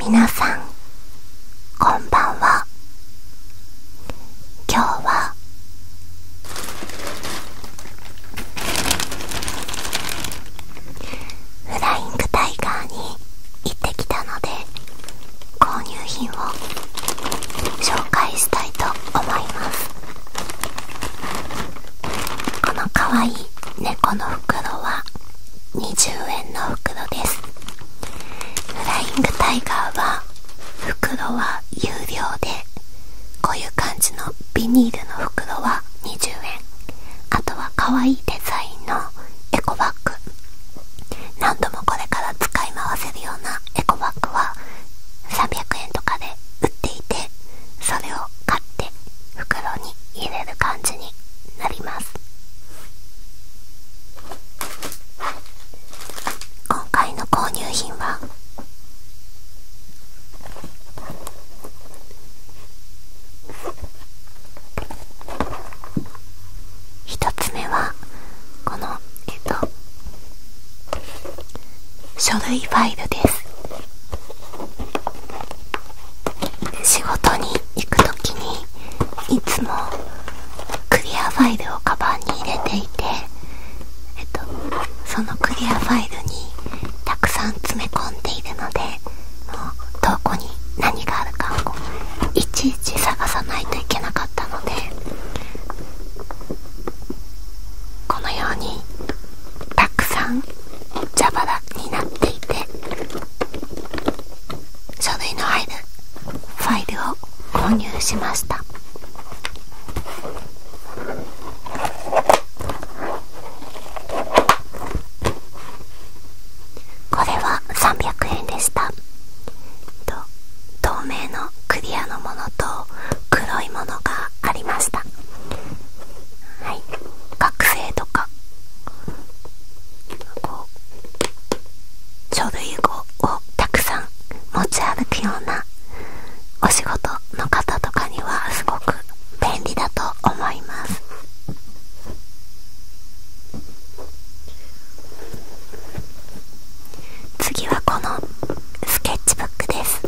皆さんこんばんは今日はフライングタイガーに行ってきたので購入品を紹介したいと思いますこのかわいい猫の袋は20円の袋ですフライングタイガーは袋は有料でこういう感じのビニールの袋は20円あとはかわいいデザインのエコバッグ何度もこれから使い回せるようなエコバッグは300円とかで売っていてそれを買って袋に入れる感じになります今回の購入品は1つ目はこのえっと書類ファイルです仕事に行く時にいつもクリアファイルをカバンに入れていてえっとそのクリアファイルにたくさん詰め込んでいるのでもうどこに何があるかをいちいち探さないといけなかったのでこのようにたくさん蛇腹になっていて書類の入るファイルを購入しましたこれは300円でした透明のクリアのものと黒いものがありましたはい、学生とかこう書類をたくさん持ち歩くようなお仕事の方とかにはすごく便利だと思います次はこのスケッチブックです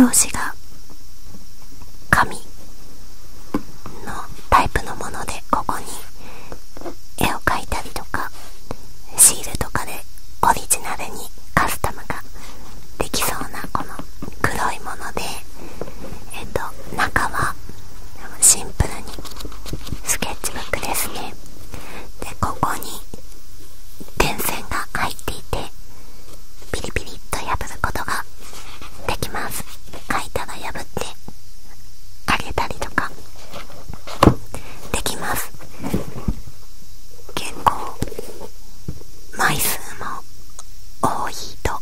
表紙が紙のタイプのものでここに絵を描いたりとかシールとかでオリジナルにカスタムができそうなこの黒いものでえっと中はシンプルにスケッチブックですねでここに電線が入っていてピリピリっと破ることができます書いたら破ってあげたりとかできます結構枚数も多いと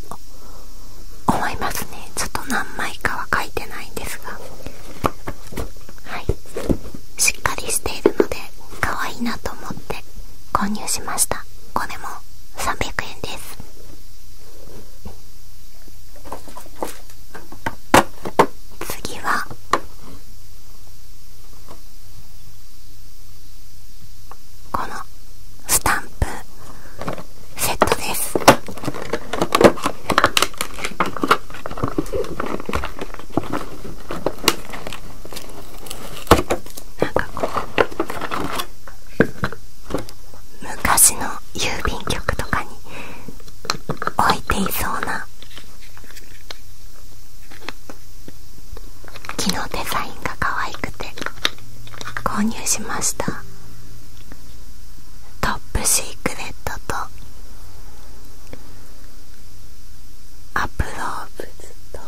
思いますねちょっと何枚かは書いてないんですがはいしっかりしているので可愛いなと思って購入しましたこれも300円です次はこのスタンプセットですなんかこう昔の郵便局とかに置いていそうな木のデザインが可愛くて購入しましたトップシークレットとアプローブズと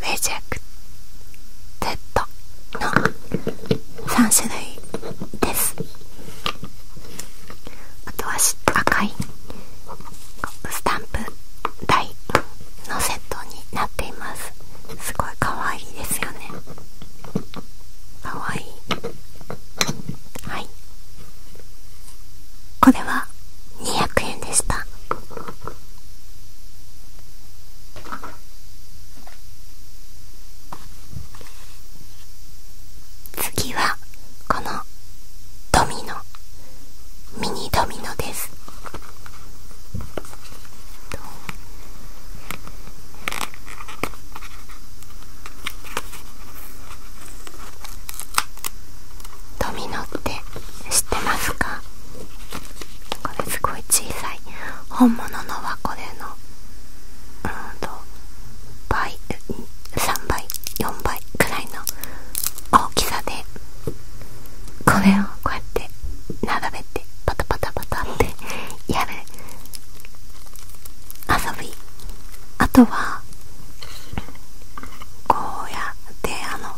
レジェクテッドの3種類ですあとは赤いスタンプ台のセットになっていますすごい可愛いですよね可愛いはいこれは200円でした次はこのドミノミニドミノですドミノって知ってますかこれすごい小さい本物のはこれのうんと倍3倍4倍くらいの大きさでこれをこうやって並べてパタパタパタってやる遊びあとはこうやってあの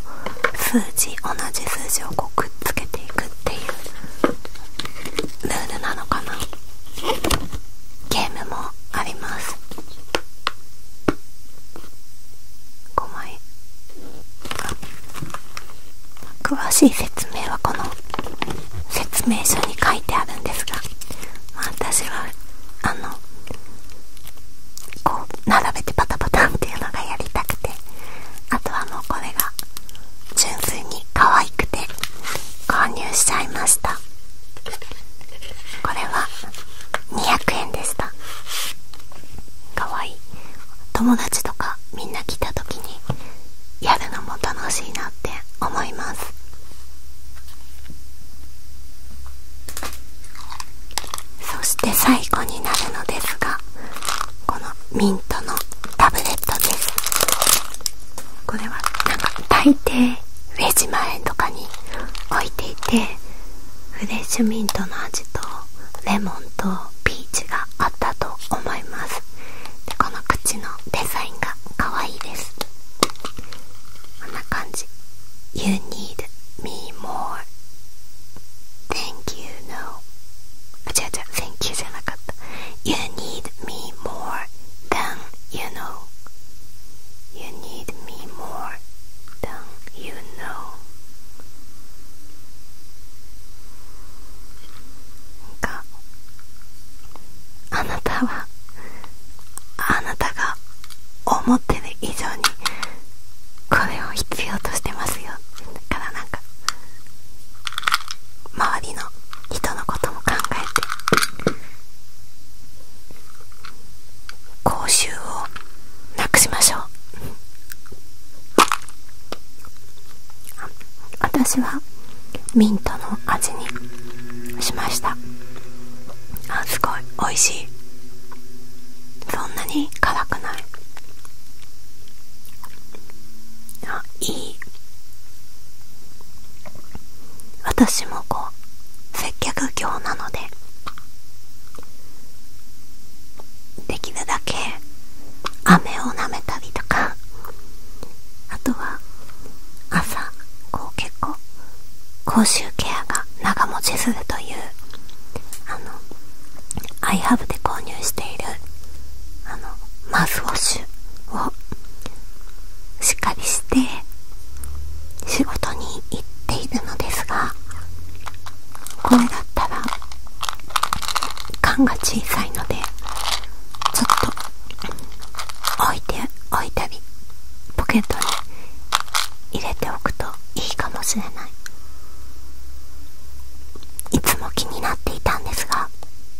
数字同じ数字をこうくっつけていくっていうルールなのかなゲームもあります5枚詳しい説明はこの説明書に書いてあるんですがまあ私はあのこう並べてパタパタンっていうのがやりたくてあとはもうこれが純粋に可愛くて購入しちゃいましたこれは200円でした可愛い友達とかみんな来た時にやるのも楽しいなって思いますそして最後になるのですがこのミントのタブレットですこれはなんか大抵レジ前とかに置いていてフレッシュミントの味とレモンとピーチがあったと思いますでこの口のデザインが可愛いですこんな感じ You need me more. Thank you, no. あ、違う違う、thank you じゃなかった。You need me more than you know. You need me more than you know. なんか、あなたは、あなたが思ってる以上にこれを必要としてますよだからなんか周りの人のことも考えて口臭をなくしましょう 私はミントの味にしましたあすごいおいしいそんなに辛くないあいい私もこう接客業なのでできるだけ飴を舐めたりとかあとは朝こう結構口臭ケアが長持ちするというあのアイハブで購入しているあのマウスウォッシュをしっかりして仕事に行っているのですがこれだったら缶が小さいのでちょっと置いて置いたりポケットに入れておくといいかもしれないいつも気になっていたんですが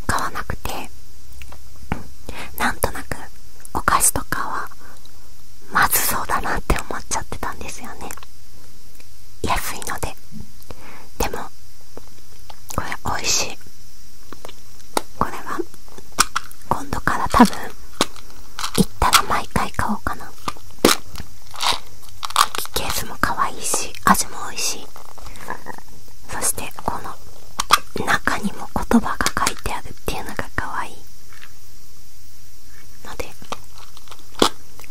買わなくてなんとなくお菓子とかはまずそうだなって思っちゃってたんですよね安いのででもこれおいしいこれは今度から多分行ったら毎回買おうかなケースも可愛いし味も美味しいそしてこの中にも言葉が書いてあるっていうのが可愛いので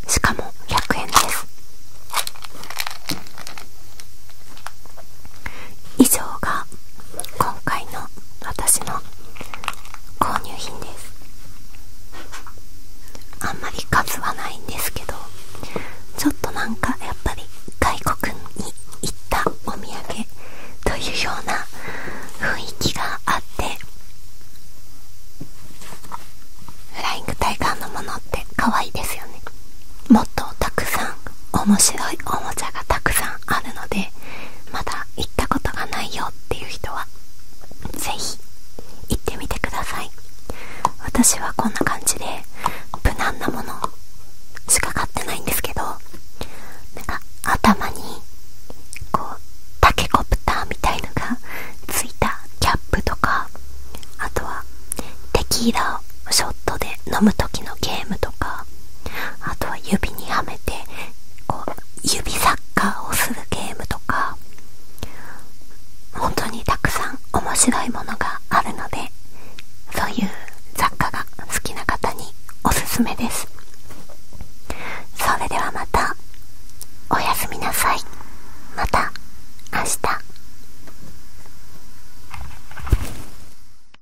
しかも100円です以上が今回の私の購入品ですあんまり数はないんですけどちょっとなんかやっぱり外国に行ったお土産というような雰囲気があってフライングタイガーのものって可愛いですよねもっとたくさん面白いおもちゃがたくさんあるのでまだ行ったことがないよっていう人はぜひ行ってみてください私はこんな感じで無難なものしか買ってないんですけどなんか頭にこうタケコプターみたいのがついたキャップとかあとはテキーラをショーで飲む時のゲームとかあとは指にはめてこう指サッカーをするゲームとか本当にたくさん面白いものがあるのでそういう雑貨が好きな方におすすめですそれではまたおやすみなさいまた明日